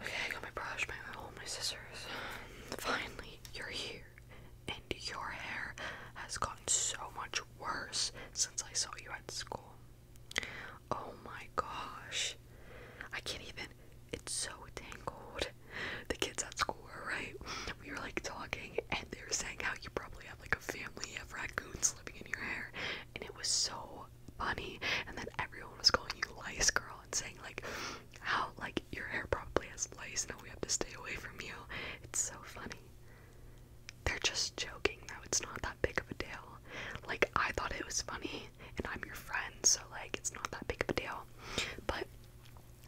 Okay, got my brush, my owl, my scissors. Finally, you're here. And your hair has gotten so much worse since I saw you at school. Oh my gosh. I can't even. It's so tangled. The kids at school were right. We were like talking, and they were saying how you probably have like a family of raccoons living in your hair. And it was so funny. And then everyone was calling you lice girl and saying like how like your hair probably has lice now we have to stay away from you. It's so funny. They're just joking though, it's not that big of a deal. Like I thought it was funny and I'm your friend, so like it's not that big of a deal. But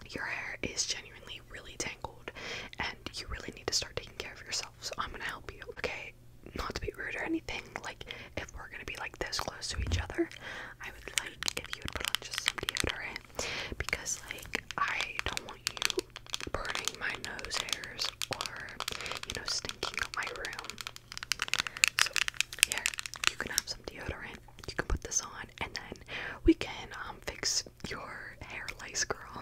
your hair is genuinely really tangled and you really need to start taking care of yourself. So I'm gonna help you. Okay, not to be rude or anything, like if we're gonna be like this close to each other, I would like if you would put on just some deodorant because like I don't want you burning my nose hairs or you know stinking up my room. So here, you can have some deodorant. You can put this on, and then we can um fix your hair, lace girl.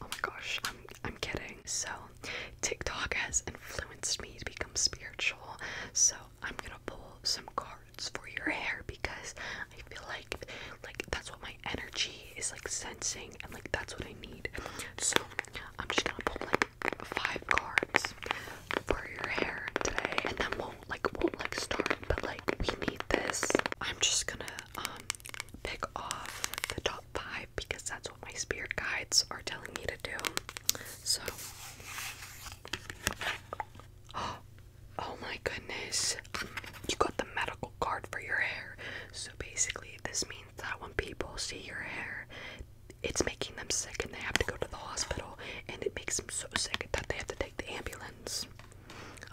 Oh my gosh, I'm I'm kidding. So TikTok has influenced me to become spiritual, so I'm gonna pull some cards for your hair because I feel like like that's what my energy is like sensing and like that's what I need. So I'm just gonna pull like five cards for your hair today and then won't like won't like start but like we need this. I'm just gonna um pick off the top five because that's what my spirit guides are telling me to do. So, oh my goodness, you got the medical card for your hair. So basically, this means that when people see your hair, it's making them sick and they have to go to the hospital, and it makes them so sick that they have to take the ambulance.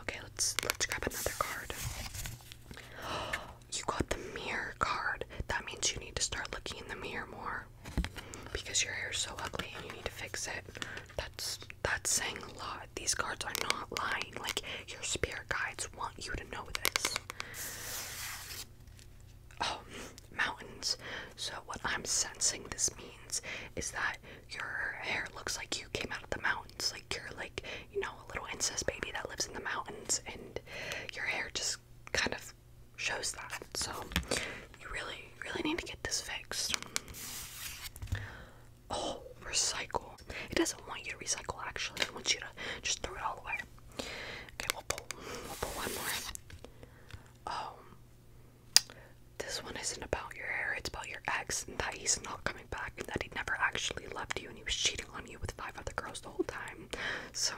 Okay, let's let's grab another card. Oh, you got the mirror card. That means you need to start looking in the mirror more because your hair's so ugly and you need to fix it. That's that's saying a lot. These cards are not lying. Like your spirit guides want you to know this. Oh, mountains. So what I'm sensing this means is that your hair looks like you came out of the mountains. Like you're like, you know, a little incest baby that lives in the mountains and your hair just kind of shows that. So you really, really need to get this fixed. Oh, recycle. It doesn't want you to recycle actually. It wants you to just throw it all away. Okay, we'll pull one more. Oh this one isn't about your hair, it's about your ex and that he's not coming back and that he never actually loved you and he was cheating on you with five other girls the whole time. So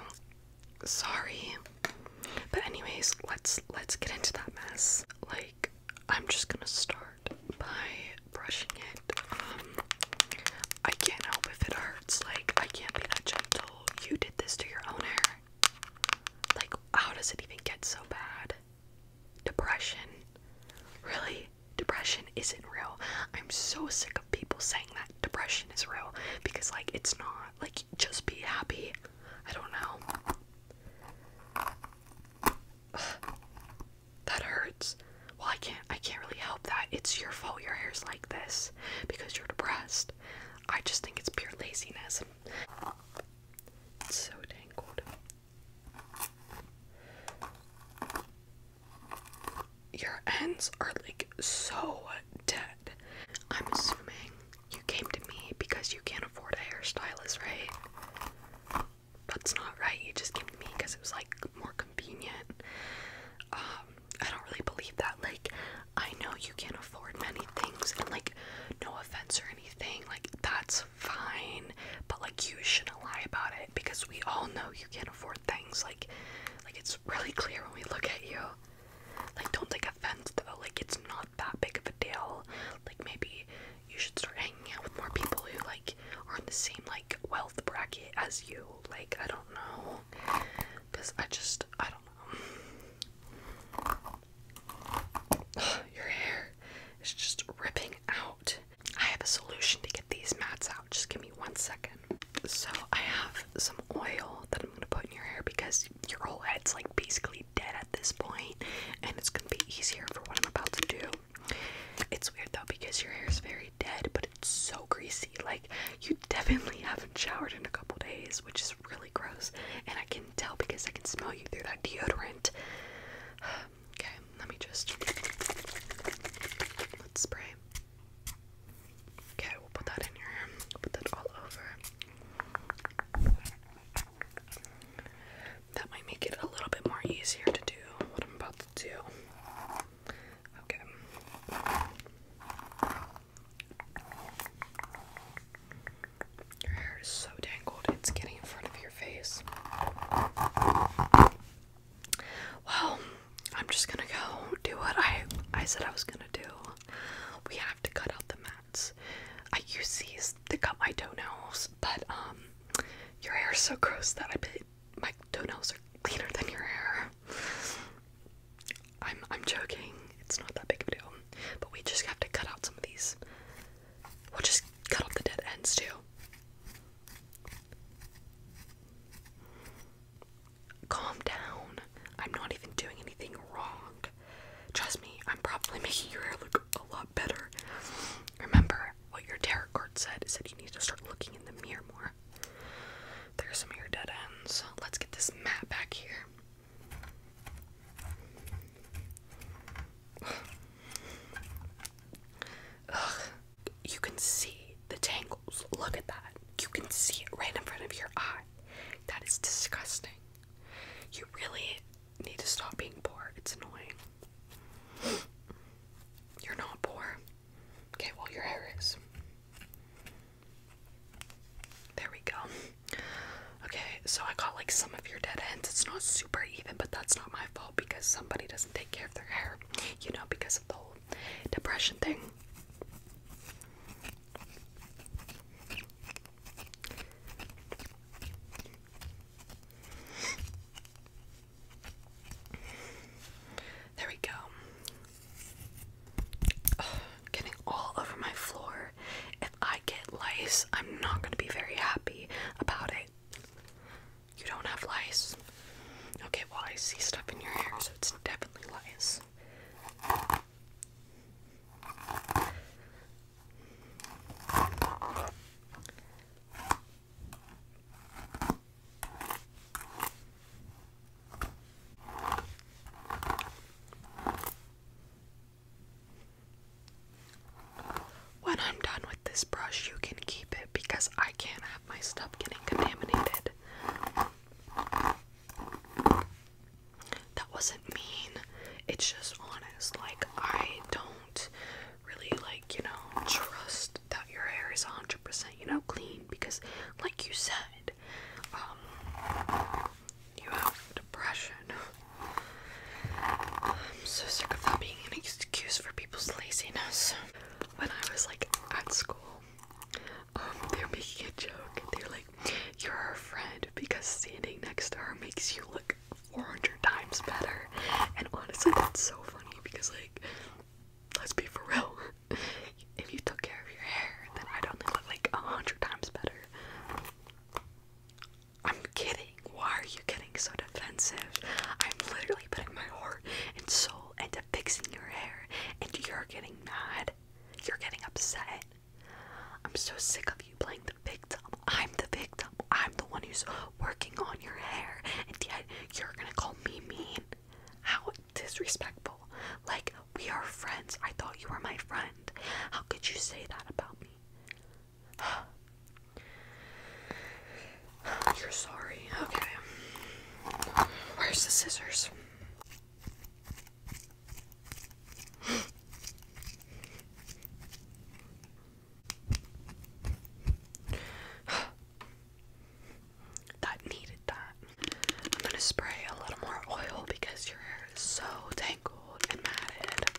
sorry. But anyways, let's let's get into that mess. Like I'm just gonna start by brushing it. Um I can't help if it hurts. Like I can't be that gentle. You did this to your own hair. Like how does it even get so bad? Depression. Really? Depression isn't real. I'm so sick people saying that depression is real because, like, it's not. Like, just be happy. I don't know. that hurts. Well, I can't. I can't really help that. It's your fault. Your hair's like this because you're depressed. I just think it's pure laziness. It's so tangled. Your ends are like so dead. I'm assuming you came to me because you can't afford a hairstylist, right? That's not right. You just came to me because it was like more convenient. Um, I don't really believe that. Like, I know you can't afford many things, and like, no offense or anything, like, that's fine, but like, you shouldn't lie about it because we all know you can't afford things. Like, like it's really clear when we look at you. Like, don't take offense though. Like, it's not that big of a deal. Like, maybe you should start hanging out with more people who like are in the same like wealth bracket as you. Like, I don't know, cause I just I don't know. your hair is just ripping out. I have a solution to get these mats out. Just give me one second. So I have some oil that I'm gonna put in your hair because your whole head's like basically dead at this point, and it's gonna be easier for what I'm about to do. It's weird though because your hair is very dead, but it's so greasy. Like you definitely haven't showered in a couple days, which is really gross. And I can tell because I can smell you through that deodorant. okay, let me just let's spray. Okay, we'll put that in here. we put that all over. That might make it a little bit more easier to do what I'm about to do. Okay. Your hair is so tangled, it's getting in front of your face. Well, I'm just gonna go do what I I said I was gonna do. We have to cut out the mats. I use these to cut my toenails, but um, your hair is so gross that I bet my toenails are cleaner than your hair. I'm I'm joking. It's not that big of a deal. But we just have to cut out some of these. We'll just cut off the dead ends too. Calm down. I'm not even doing anything wrong. Trust me, I'm probably making your hair look a lot better. Remember what your tarot card said. It said you need to start looking in the mirror more. There's some of your dead ends. Let's get this mat back here. Ugh. You can see the tangles. Look at that. You can see it right in front of your eye. That is disgusting. You really need to stop being poor. It's annoying. You're not poor. Okay, well, your hair is. There we go. Okay, so I got like some of your dead ends. It's not super even, but that's not my fault because somebody doesn't take care of their hair you know, because of the whole depression thing. There we go. getting all over my floor. If I get lice, I'm not going to be very happy about it. You don't have lice. Okay, well, I see stuff in your hair, so it's definitely lice. When I'm done this brush, you can keep it because I can't have my stuff getting contaminated. That wasn't mean. It's just honest. Like, I don't really, like, you know, trust that your hair is 100%, you know, clean because, like you said, um, you have depression. I'm so sick of that being an excuse for people's laziness when I was like at school, um, they're making a joke. They're like, "You're her friend because standing next to her makes you look 400 times better." And honestly, that's so funny because like, let's be for real. If you took care of your hair, then I'd only look like a hundred times better. I'm kidding. Why are you getting so defensive? I'm literally putting my heart and soul into fixing your hair, and you're getting mad. You're getting upset. I'm so sick of you playing the victim. I'm the victim. I'm the one who's working on your hair, and yet you're gonna call me mean. How disrespectful. Like, we are friends. I thought you were my friend. How could you say that about me? You're sorry. Okay. Where's the scissors? that needed that. I'm gonna spray a little more oil because your hair is so tangled and matted.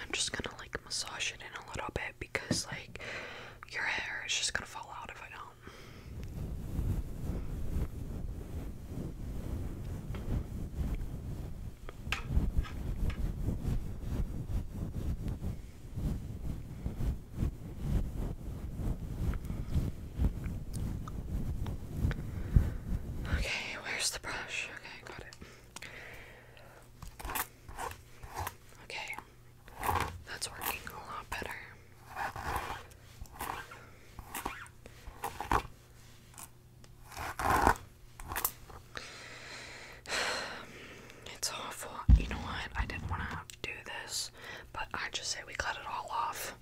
I'm just gonna like massage it in a little bit because like your hair is just gonna fall out if I don't. Okay, where's the brush? Okay, got it. Okay, that's working a lot better. It's awful. You know what? I didn't want to do this, but I just say we cut it all off.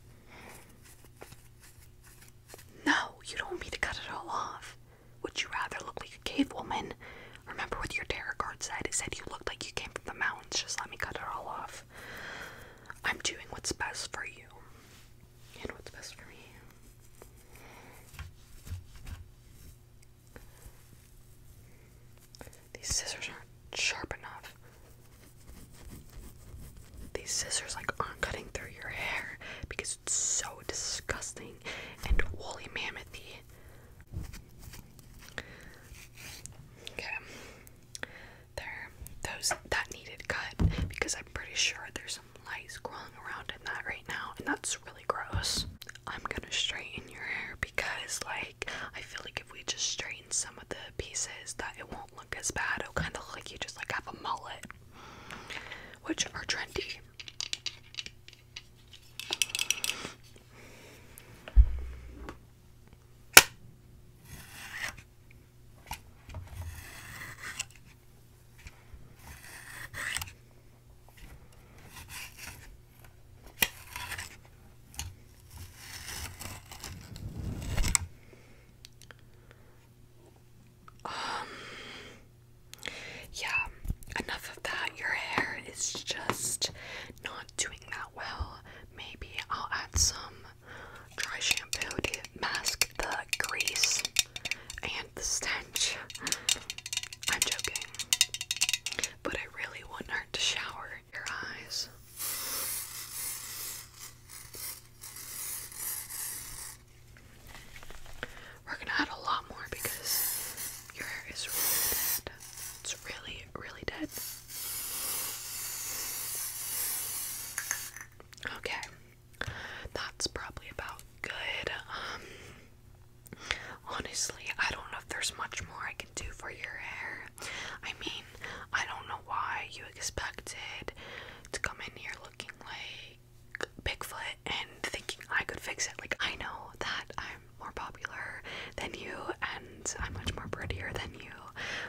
No, you don't want me to cut it all off. Would you rather look like a cavewoman? Remember what your tarot card said? It said you looked like you came from the mountains. Just let me cut it all off. I'm doing what's best for you. And what's best for me. These scissors aren't sharp enough. These scissors like aren't cutting through your hair because it's so disgusting and woolly mammothy. Okay. There. Those that needed cut because I'm pretty sure there's some lice crawling around in that right now and that's really gross. I'm gonna straighten your hair because like I feel like if we just straighten some of the pieces that it won't look as bad. It'll kind of look like you just like have a mullet, which are trendy. Um, yeah, enough of that. Your hair is just not doing that well. Maybe I'll add some dry shampoo to mask the grease and the stench. I'm joking. But I really want her to shower your eyes. We're gonna add a lot more because your hair is really dead. It's really, really dead. Okay, that's probably about good. Um, honestly, I don't know if there's much more I can do for your hair. I mean, I don't know why you expected to come in here looking like Bigfoot and thinking I could fix it. Like, I know that I'm more popular than you and I'm much more prettier than you,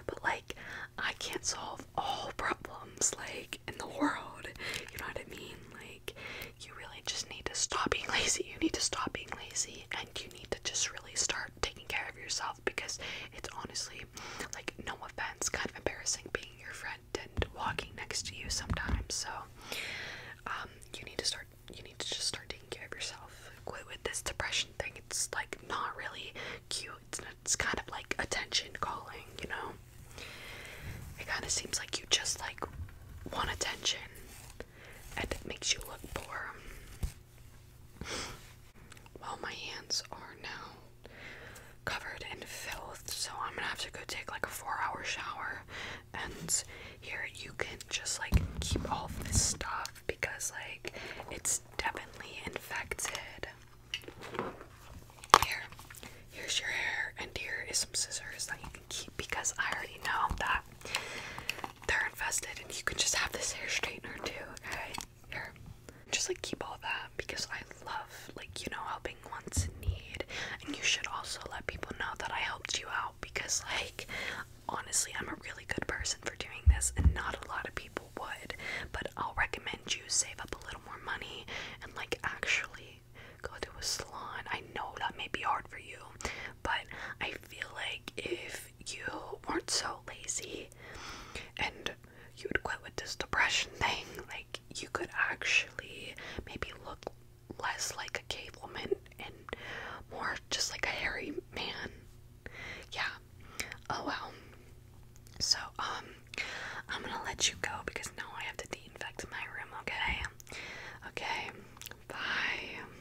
but like, I can't solve all problems, like, in the world. You know what I mean? Like, you really just need to stop being lazy. You need to stop being lazy and you need to just really start taking care of yourself because it's honestly like no offense, kind of embarrassing being your friend and walking next to you sometimes. So um, you need to start you need to just start taking care of yourself. Quit with this depression thing. It's like not really cute. it's kind of like attention calling, you know? It kind of seems like you just like want attention and it makes you look poor. Well, my hands are now covered in filth, so I'm gonna have to go take like a four hour shower. And here you can just like keep all of this stuff because, like, it's definitely infected. Here, here's your hair, and here is some scissors that you can keep because I already know that they're invested, and you can just have this hair straightener too. Okay, here, just like keep all that because I love like you know helping ones in need, and you should also let people know that I helped you out because like honestly, I'm a really good person for doing this, and not a lot of people would. But I'll recommend you save up a little more money and like actually go to a salon. I know that may be hard for you, but I feel like if you weren't so lazy and you would quit with this depression thing, like you could actually maybe look less like a cave woman and more just like a hairy man. Yeah. Oh well. So, um, I'm gonna let you go because now I have to de infect my room, okay? Okay, bye.